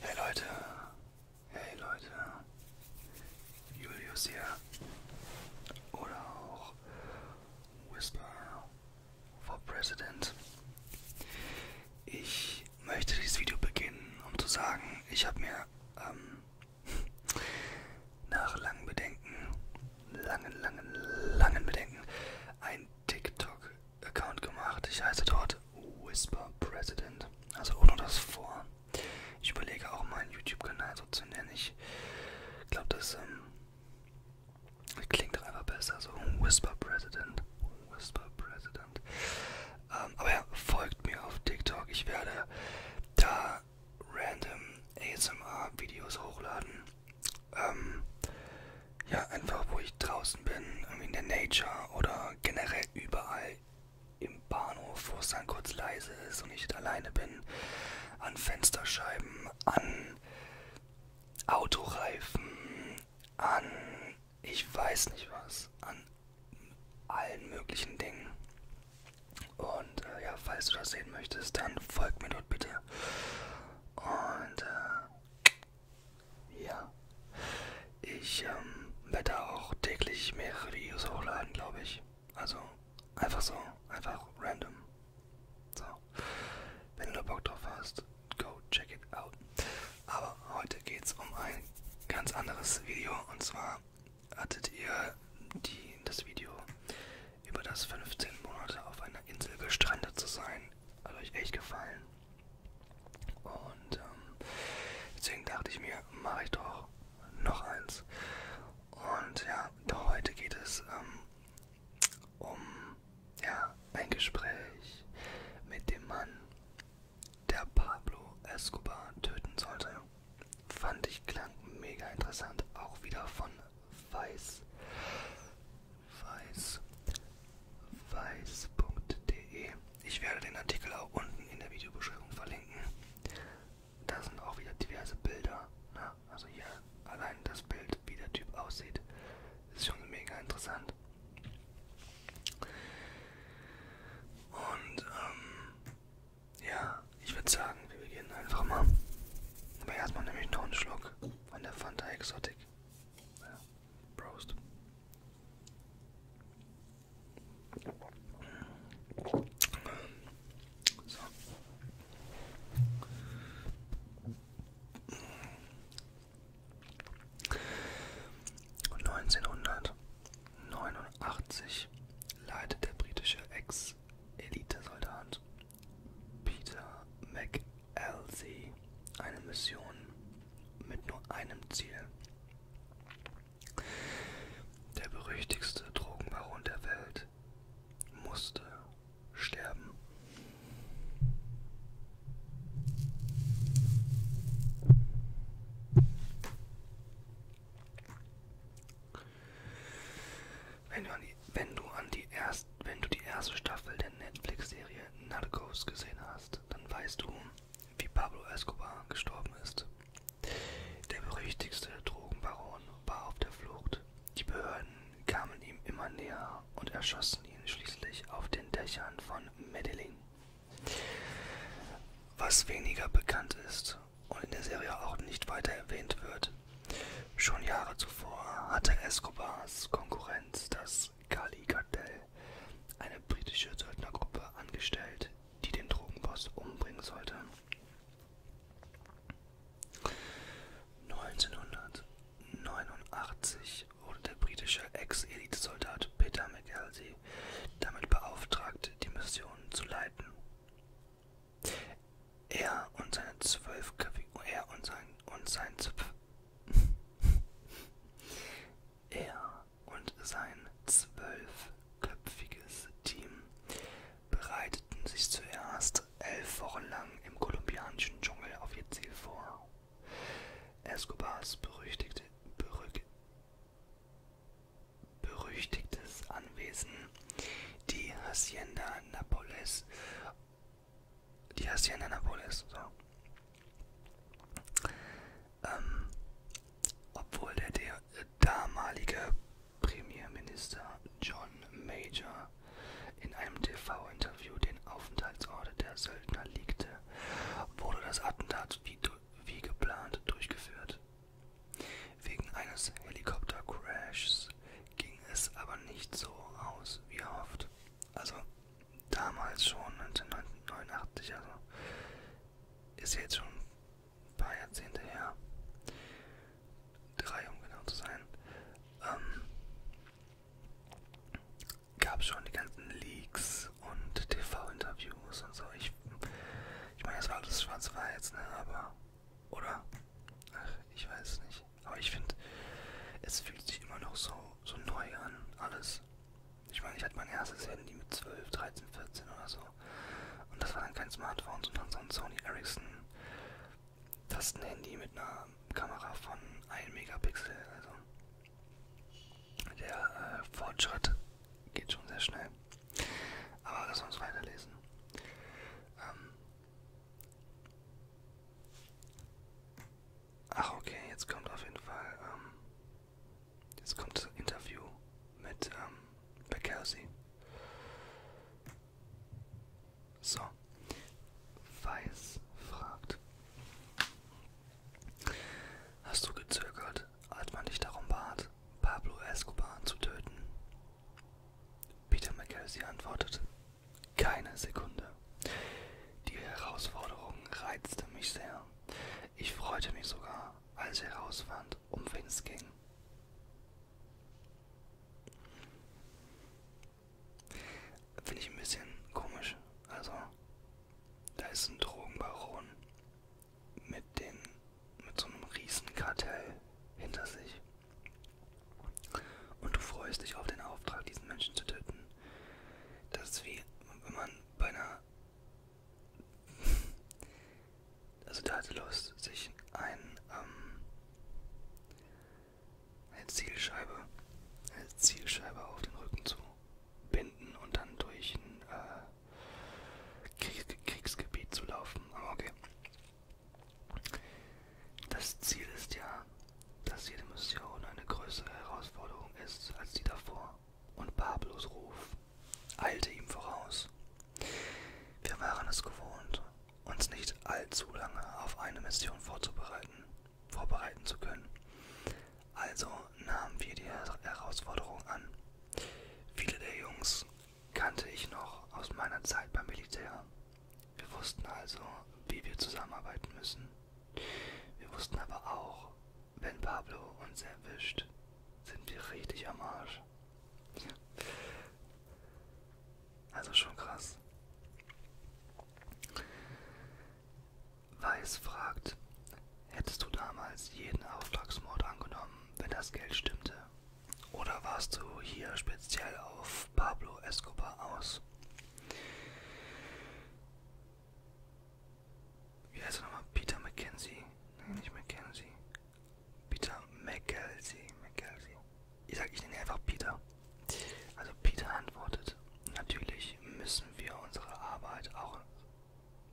Hey Leute, hey Leute, Julius hier oder auch Whisper for President. Ich möchte dieses Video beginnen, um zu sagen, ich habe mir ähm, nach langen Bedenken, langen, langen, langen Bedenken, ein TikTok-Account gemacht. Ich heiße dort Whisper President. Also ohne das vor. Ich überlege auch meinen YouTube-Kanal so zu nennen. Ich glaube, das ähm, klingt doch einfach besser. So Whisper President. Whisper President. Ähm, aber ja, folgt mir auf TikTok. Ich werde da random ASMR-Videos hochladen. Ähm, ja, einfach wo ich draußen bin, irgendwie in der Nature oder generell überall im Bahnhof, wo es dann kurz leise ist und ich nicht alleine bin, an Fensterscheiben, an Autoreifen, an ich weiß nicht was, an allen möglichen Dingen. Und äh, ja, falls du das sehen möchtest, dann folg mir dort bitte. Und äh, ja, ich ähm, werde auch täglich mehrere Videos hochladen, glaube ich. Also einfach so, einfach random. So, wenn du Bock drauf hast, go check it out. Aber heute geht's um ein ganz anderes Video und zwar hattet ihr die, das Video über das 15 Monate auf einer Insel gestrandet zu sein. Hat euch echt gefallen. Und ähm, deswegen dachte ich mir, mache ich doch noch eins. Und ja, heute geht es ähm, um ja, ein Gespräch mit dem Mann, der Pablo Escobar töten sollte. Fand ich klang mega interessant. Auch wieder von Weiß. Weiß. Weiß.de. Ich werde den Artikel auch unten in der Videobeschreibung verlinken. Da sind auch wieder diverse Bilder. Ne? Also hier allein das Bild, wie der Typ aussieht, ist schon mega interessant. Und ähm, ja, ich würde sagen, wir beginnen einfach mal. Aber erstmal nehme ich noch einen Schluck von der Fanta Exotic. Ja, Prost. So. Und 1900 1989 leitet der britische Ex-Elitesoldat Peter McAlsey eine Mission mit nur einem Ziel. Der berüchtigste Drogenbaron der Welt musste sterben. Wenn du, an die, wenn, du an die erst, wenn du die erste Staffel der Netflix-Serie Narcos gesehen hast, dann weißt du, wie Pablo Escobar gestorben ist. Der berüchtigste Drogenbaron war auf der Flucht. Die Behörden kamen ihm immer näher und erschossen ihn schließlich auf den Dächern von Medellin. Was weniger bekannt ist und in der Serie auch nicht weiter erwähnt wird, schon Jahre zuvor hatte Escobars Konkurrenz das Kali-Kartell, eine britische Söldnergruppe, angestellt, die den Drogenboss umbringen sollte. 1989 wurde der britische Ex-Elitesoldat Peter McKelvey Ramsey damit beauftragt, die Mission zu leiten. Er und seine zwölfköpfige, er und sein und sein er und sein zwölfköpfiges Team bereiteten sich zuerst elf Wochen lang im kolumbianischen Dschungel auf ihr Ziel vor. Escobars berüchtigte, berück, berüchtigtes Anwesen, die Hacienda Napoles. Die Hacienda Napoles, so. Ähm, obwohl der, der äh, damalige Premierminister John Major in einem TV-Interview den Aufenthaltsort der Söldner legte, wurde das Attentat wie durch wie geplant durchgeführt. Wegen eines Helikoptercrashs ging es aber nicht so aus wie erhofft. Also damals schon 1989, also ist jetzt schon ein paar Jahrzehnte her. Drei, um genau zu sein. Ähm, gab schon die ganzen Leaks Podcasts und TV-Interviews und so. Ich, ich meine, das war alles schwarz-weiß, ne? Aber. Oder? Ach, ich weiß es nicht. Aber ich finde, es fühlt sich immer noch so, so neu an, alles. Ich meine, ich hatte mein erstes Handy mit 12, 13, 14 oder so. Und das war dann kein Smartphone, sondern so ein Sony Ericsson Tastenhandy mit einer Kamera von 1 Megapixel. Also der äh, Fortschritt geht schon sehr schnell. Aber lass uns weiterlesen. Ähm Ach okay, jetzt kommt auf jeden Fall, ähm, jetzt kommt das Interview mit ähm, Beckersi. So, Weiß fragt, Hast du gezögert, als man dich darum bat, Pablo Escobar zu töten? Peter McKelvey antwortet, keine Sekunde. Die Herausforderung reizte mich sehr. Ich freute mich sogar, als ich herausfand, um wen es ging. Finde ich ein bisschen komisch. Also, da ist ein Drogenbaron mit, den, mit so einem Riesenkartell hinter sich. Und du freust dich auf den Auftrag, diesen Menschen zu töten. Das ist wie wenn man bei einer... Also der hatte Lust, sich ein, ähm, eine Zielscheibe, eine Zielscheibe auf den Rücken zu binden und dann durch ein äh, Krieg Kriegsgebiet zu laufen. Aber okay. Das Ziel ist ja, dass jede Mission eine größere Herausforderung ist als die davor. Und Pablos Ruf eilte ihm voraus. Wir waren es gewohnt, uns nicht allzu lange auf eine Mission vorzubereiten vorbereiten zu können. Also nahmen wir die Herausforderung an. Viele der Jungs kannte ich noch aus meiner Zeit beim Militär. Wir wussten also, wie wir zusammenarbeiten müssen. Wir wussten aber auch, wenn Pablo uns erwischt, sind wir richtig am Arsch. Also schon krass. Weiß fragt, hättest du damals jeden Auftragsmord angenommen, wenn das Geld stimmte? Oder warst du hier speziell auf Pablo Escobar aus? Wie heißt er nochmal? Peter McKenzie? Nein, nicht McKenzie. Peter McKelzie. McKelzie. Ich sag, ich nenne einfach Peter. Also Peter antwortet natürlich müssen wir unsere Arbeit auch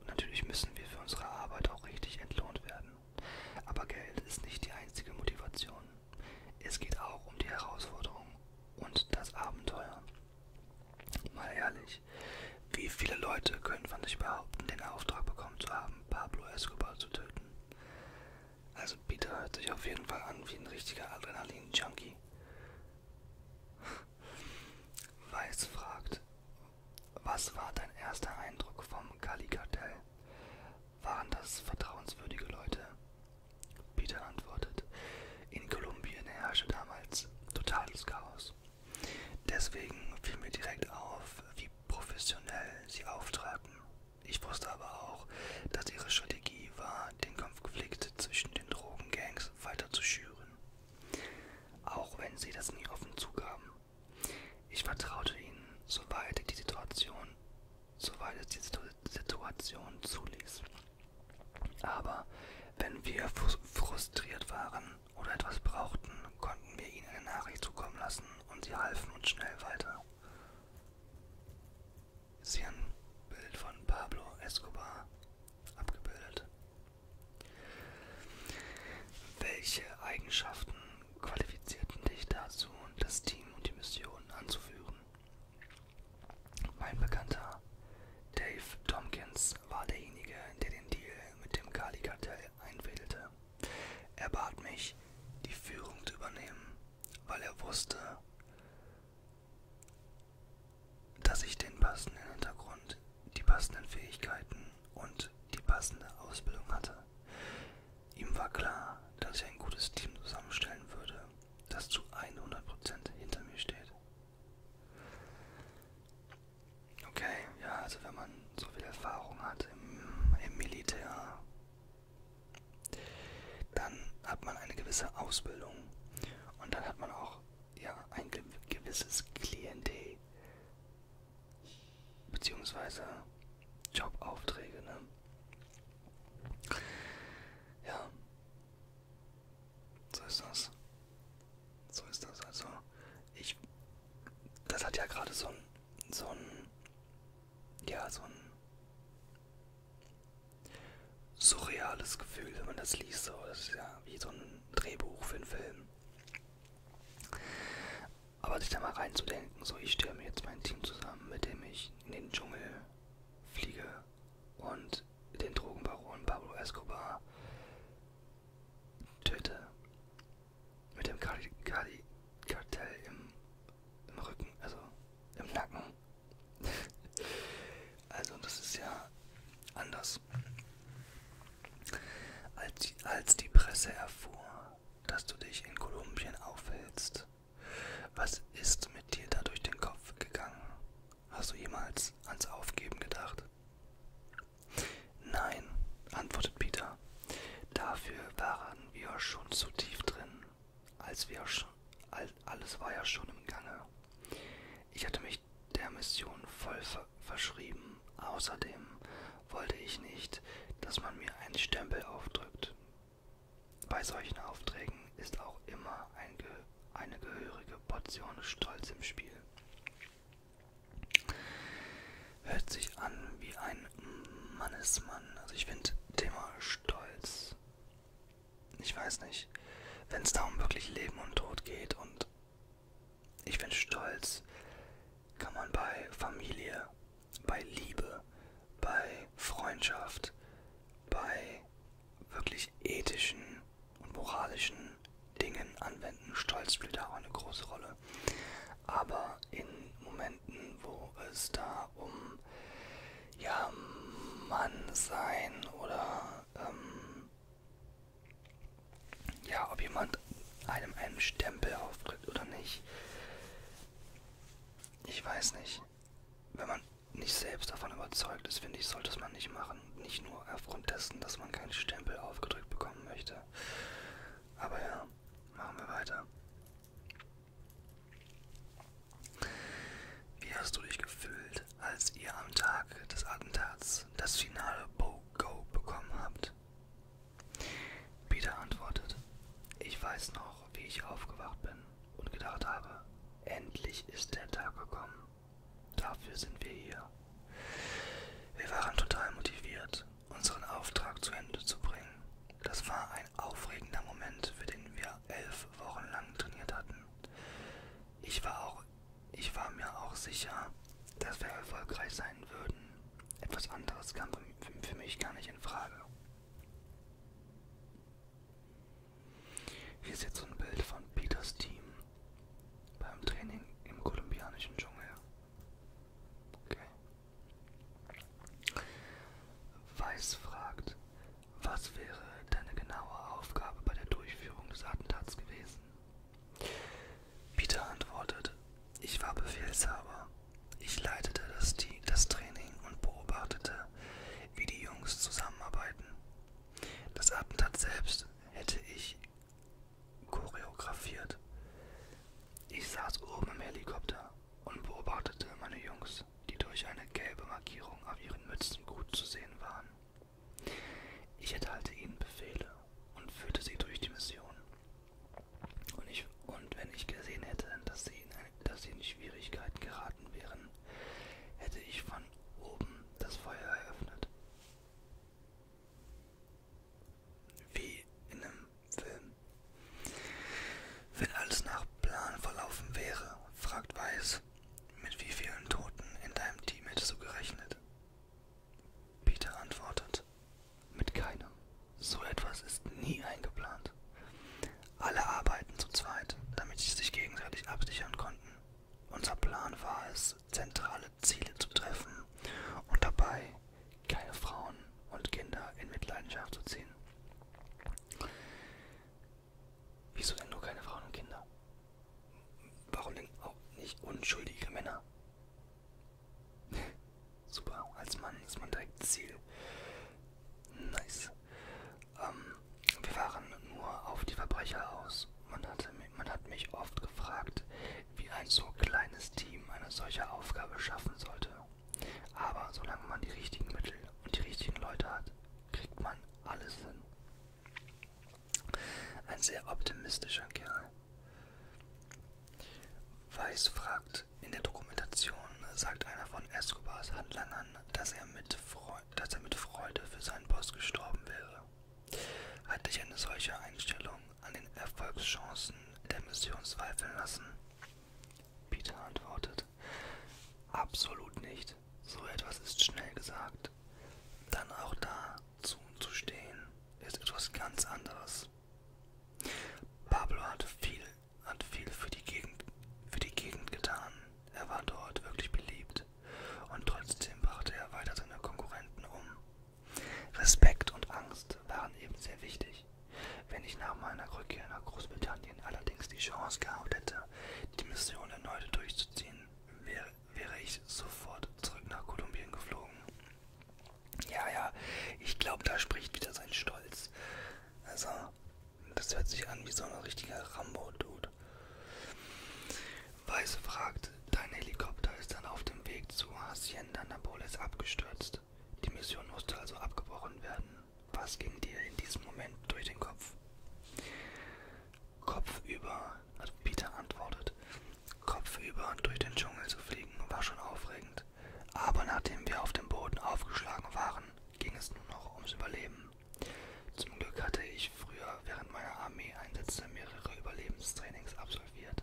natürlich müssen wir für unsere Arbeit auch richtig entlohnt werden. Aber Geld ist nicht die einzige Motivation. Es geht auch um die Herausforderung und das Abenteuer. Mal ehrlich, wie viele Leute können von sich behaupten, den Auftrag bekommen zu haben, Pablo Escobar zu töten? Also Peter hört sich auf jeden Fall an wie ein richtiger Adrenalin-Junkie. Weiß fragt, was war dein erster Eindruck vom Kali-Kartell? Waren das vertrauenswürdige Leute? Peter antwortet, in Kolumbien herrschte damals totales Chaos. Deswegen fiel mir direkt auf, wie professionell sie auftraten. Ich wusste aber auch, dass ihre Strategie war, den Konflikt zwischen den Drogengangs weiter zu schüren auch wenn sie das nie offen zugaben. Ich vertraute ihnen, soweit die Situation, soweit es die Situ Situation zuließ. Aber wenn wir frustriert waren oder etwas brauchten, konnten wir ihnen eine Nachricht zukommen lassen und sie halfen uns schnell weiter ist hier ein Bild von Pablo Escobar abgebildet. Welche Eigenschaften qualifizierten dich dazu, das Team und die Mission anzuführen? Mein Bekannter Dave Tompkins war derjenige, der den Deal mit dem Kali-Kartell einfädelte. Er bat mich, die Führung zu übernehmen, weil er wusste, dass ich den passenden Hintergrund, die passenden Fähigkeiten und die passende Ausbildung hatte. Ihm war klar, dass ich ein gutes Team zusammenstellen würde, das zu 100% hinter mir steht. Okay, ja, also wenn man so viel Erfahrung hat im, im Militär, dann hat man eine gewisse Ausbildung und dann hat man auch auch ja, ein gewisses Klientel beziehungsweise Jobaufträge. Ne? Ja, so ist das. So ist das. Also, ich, das hat ja gerade so ein, so ein, ja, so ein surreales Gefühl, wenn man das liest. So, das ist ja wie so ein Drehbuch für einen Film. Aber sich da mal reinzudenken, so ich stelle mir jetzt mein Team zusammen, mit dem ich in den Dschungel fliege und den Drogenbaron Pablo Escobar töte. Mit dem Kar Kar Kartell im, im Rücken, also im Nacken also das ist ja anders. Als die, als die Presse erfuhr, dass du dich in Kolumbien aufhältst, was ist mit dir da durch den Kopf gegangen? Hast du jemals ans Aufgeben gedacht? Nein, antwortet Peter. Dafür waren wir schon zu tief drin. Als wir schon, alles war ja schon im Gange. Ich hatte mich der Mission voll ver verschrieben. Außerdem wollte ich nicht, dass man mir einen Stempel aufdrückt. Bei solchen Aufträgen ist auch immer ein Ge eine gehörige Portion Stolz im Spiel. Hört sich an wie ein Mannesmann. Also ich finde Thema Stolz ich weiß nicht, wenn es da um wirklich Leben und Tod geht und ich bin stolz, kann man bei Familie, bei Liebe, bei Freundschaft, bei wirklich ethischen und moralischen Dingen anwenden. Stolz spielt auch eine große Rolle. Aber in Momenten, wo es da um ja, Mann sein oder ähm, ja, ob jemand einem einen Stempel auftritt oder nicht. Ich weiß nicht. Wenn man nicht selbst davon überzeugt ist, finde ich, sollte es man nicht machen. Nicht nur aufgrund dessen, dass man keinen Stempel aufgedrückt bekommen möchte. Aber ja, machen wir weiter. Wie hast du dich gefühlt, als ihr am Tag des Attentats das finale Bo-Go bekommen habt? Peter antwortet, ich weiß noch, wie ich aufgewacht bin und gedacht habe, endlich ist der Tag gekommen. Dafür sind wir hier. Wir waren total motiviert, unseren Auftrag zu Ende zu bringen. Das war ein aufregender Moment, für den wir elf Wochen lang trainiert hatten. Ich war, auch, ich war mir auch sicher, dass wir erfolgreich sein würden. Etwas anderes kam für mich gar nicht in Frage. Hier ist jetzt so ein Bild von Peters Team beim Training im kolumbianischen Dschungel. Okay. Weiß fragt, was wäre deine genaue Aufgabe bei der Durchführung des Attentats gewesen? Peter antwortet, ich war Befehlshaber. Ich leitete das, das Training und beobachtete, wie die Jungs zusammenarbeiten. Das Attentat selbst hätte ich choreografiert. Ich saß oben im Helikopter und beobachtete meine Jungs. Autos, die durch eine gelbe Markierung auf ihren Mützen gut zu sehen waren. Ich erteilte ihnen Befehle und führte sie durch die Mission. Und, ich, und wenn ich gesehen hätte, dass sie, in, dass sie in Schwierigkeiten geraten wären, hätte ich von oben das Feuer eröffnet. Wie in einem Film. Wenn alles nach Plan verlaufen wäre, fragt Weiß, mit wie vielen Toten in deinem Team hättest du gerechnet? Peter antwortet, mit keinem. So etwas ist nie eingeplant. Alle arbeiten zu zweit, damit sie sich gegenseitig absichern konnten. Unser Plan war es, zentrale Ziele zu treffen und dabei keine Frauen und Kinder in Mitleidenschaft zu ziehen. Wieso denn nur keine Frauen und Kinder? Warum denn auch nicht unschuldige Männer? Super, als Mann ist man direkt Ziel. Nice. Ähm, wir waren nur auf die Verbrecher aus. Man, hatte, man hat mich oft gefragt, wie ein so kleines Team eine solche Aufgabe schaffen sollte. Aber solange man die richtigen Mittel und die richtigen Leute hat, kriegt man alles hin. Ein sehr optimistischer Kerl. Weiss fragt, in der Dokumentation sagt einer von Escobars Handlangern, dass er, mit Freude, dass er mit Freude für seinen Boss gestorben wäre. Hat dich eine solche Einstellung an den Erfolgschancen der Mission zweifeln lassen? Peter antwortet, Absolut nicht. So etwas ist schnell gesagt. Dann auch dazu zu stehen, ist etwas ganz anderes. Pablo hat viel, hat viel für, die Gegend, für die Gegend getan. Er war dort wirklich beliebt. Und trotzdem brachte er weiter seine Konkurrenten um. Respekt und Angst waren eben sehr wichtig. Wenn ich nach meiner Rückkehr nach Großbritannien allerdings die Chance gehabt hätte, die Mission erneut durchzuziehen, wäre, wäre ich sofort zurück nach Kolumbien geflogen. Ja, ja, ich glaube, da spricht wieder sein Stolz. Also, das hört sich an wie so ein richtiger Rambo-Dude. Weiße fragt, dein Helikopter ist dann auf dem Weg zu Hacienda Napoles abgestürzt ist. Die Mission musste also abgebrochen werden. Was ging dir in diesem Moment durch den Kopf? Kopfüber, also Peter antwortet, kopfüber durch den Dschungel zu fliegen war schon aufregend. Aber nachdem wir auf dem Boden aufgeschlagen waren, ging es nur noch ums Überleben. Zum Glück hatte ich früher während meiner Armeeeinsätze mehrere Überlebenstrainings absolviert.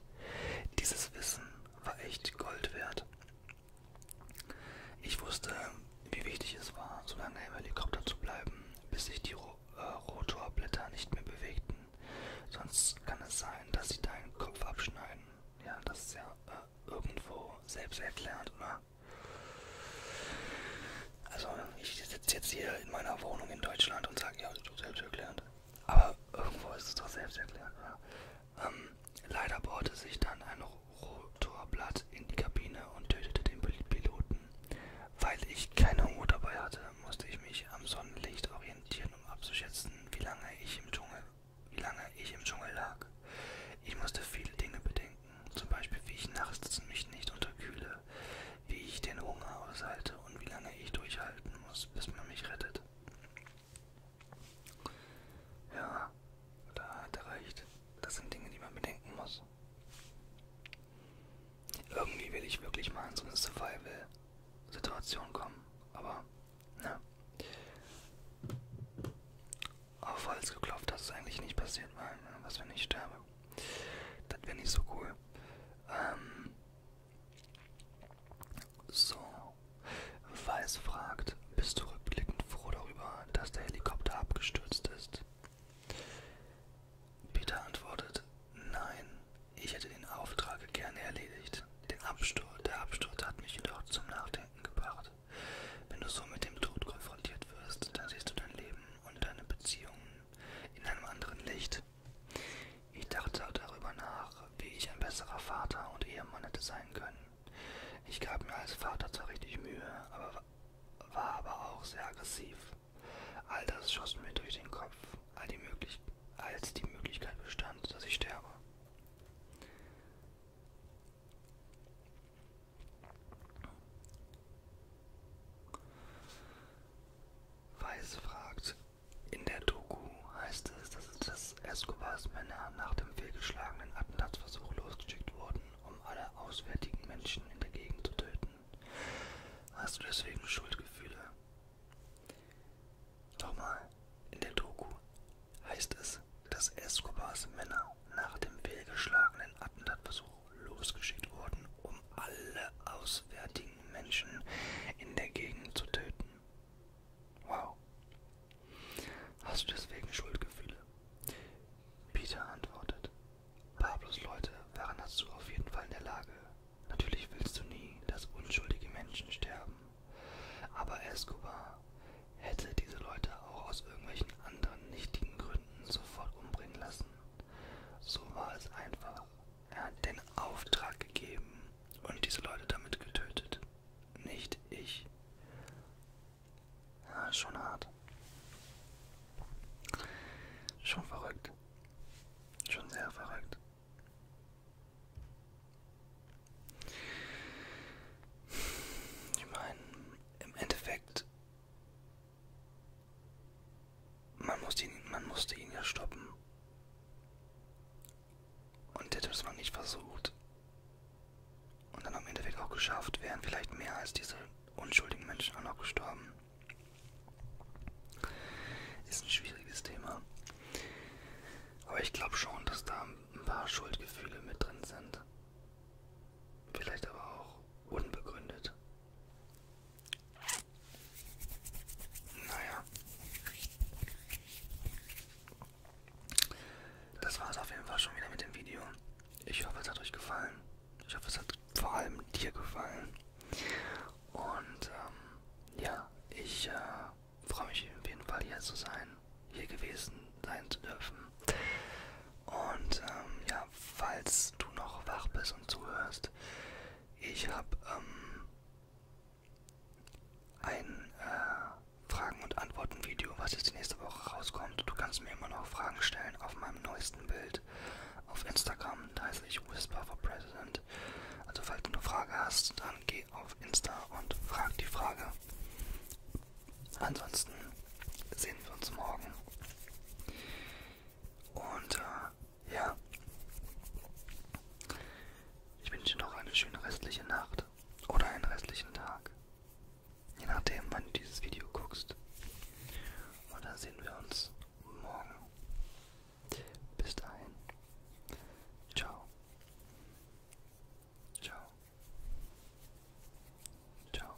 Dieses Wissen war echt Gold wert. Ich wusste, wie wichtig es war, so lange im Helikopter zu bleiben, bis sich die Ro äh, Rotorblätter nicht mehr bewegten. Sonst kann es sein, dass sie deinen Kopf abschneiden. Ja, das ist ja äh, irgendwo selbsterklärend, ne? oder? Also, ich sitze jetzt hier in meiner Wohnung in Deutschland und sage, ja, das ist doch selbsterklärend. Aber irgendwo ist es doch selbsterklärend, oder? Ähm, leider bohrte sich dann ein Rotorblatt in die Kabine und tötete den Piloten. Weil ich keine Uhr dabei hatte, musste ich mich am Sonnenlicht orientieren, um abzuschätzen, wie lange ich im Dschungel, wie lange ich im Dschungel lag. Ich musste viele Dinge bedenken, zum Beispiel wie ich nachts mich nicht unterkühle, wie ich den Hunger aushalte und wie lange ich durchhalten muss, bis man mich rettet. Ja, da hat er recht. Das sind Dinge, die man bedenken muss. Irgendwie will ich wirklich mal in so eine Survival-Situation kommen, aber ne. Auf Holz geklopft, dass es eigentlich nicht passiert, weil, ne, was wenn ich sterbe? Das wäre nicht so cool. Ähm, so, Weiß fragt, bist du rückblickend froh darüber, dass der Helikopter abgestürzt ist? Peter antwortet, nein, ich hätte den Auftrag gerne erledigt. Den Absturz, der Absturz hat mich jedoch zum Nachdenken gebracht. Wenn du so mit dem Tod konfrontiert wirst, dann siehst du dein Leben und deine Beziehungen in einem anderen Licht. Ich dachte darüber nach, wie ich ein besserer Vater und Ehemann hätte sein können. Ich gab mir als Vater zwar richtig Mühe, aber war aber auch sehr aggressiv. All das schoss mir durch den Kopf, all die möglich als die Möglichkeit bestand, dass ich sterbe. Weiß fragt, in der Doku heißt es, dass es das dass Escobars Männer nach dem fehlgeschlagenen Attentatsversuch losgeschickt wurden, um alle auswärtigen Menschen in der Gegend zu töten. Hast du deswegen Schuldgefühle? Nochmal, in der Doku heißt es, dass Escobars Männer nach dem fehlgeschlagenen Attentatversuch losgeschickt wurden, um alle auswärtigen Menschen in der Gegend zu töten. Wow. Hast du deswegen Schuldgefühle? Peter antwortet. Pablos Leute waren dazu auf jeden Fall in der Lage. Natürlich willst du nie, dass unschuldige Menschen sterben. Aber Escobar hätte diese Leute auch aus irgendwelchen anderen nichtigen Gründen sofort umbringen lassen. So war es einfach. Er hat den Auftrag gegeben und diese Leute damit getötet nicht ich. Ja, schon hart. Schon verrückt. Schon sehr verrückt. Ich meine, im Endeffekt, man musste ihn, man musste ihn ja stoppen. Und hätte es mal nicht versucht und dann am Endeffekt auch geschafft, wären vielleicht mehr als diese unschuldigen Menschen auch noch gestorben. Ist ein schwieriges Thema. Aber ich glaube schon, dass da ein paar Schuldgefühle mit drin sind. Vielleicht aber auch unbegründet. Naja. Das war es auf jeden Fall schon wieder mit dem Video. Ich hoffe, es hat euch gefallen. Ich hoffe, es hat vor allem dir gefallen. Und ähm, ja, ich äh, freue mich auf jeden Fall hier zu sein, hier gewesen sein zu dürfen. Und ähm, ja, falls du noch wach bist und zuhörst, ich habe ähm, ein äh, Fragen- und Antworten-Video, was jetzt die nächste Woche rauskommt. Du kannst mir immer noch Fragen stellen auf meinem neuesten Bild auf Instagram. Da heiße ich Whisper for President. Also falls du eine Frage hast, dann geh auf Insta und frag die Frage. Ansonsten sehen wir uns morgen. Und äh, ja, ich wünsche dir noch eine schöne restliche Nacht oder einen restlichen Tag. Je nachdem, wann du dieses Video guckst. Und da sehen wir uns morgen. Bis dahin. Ciao. Ciao. Ciao.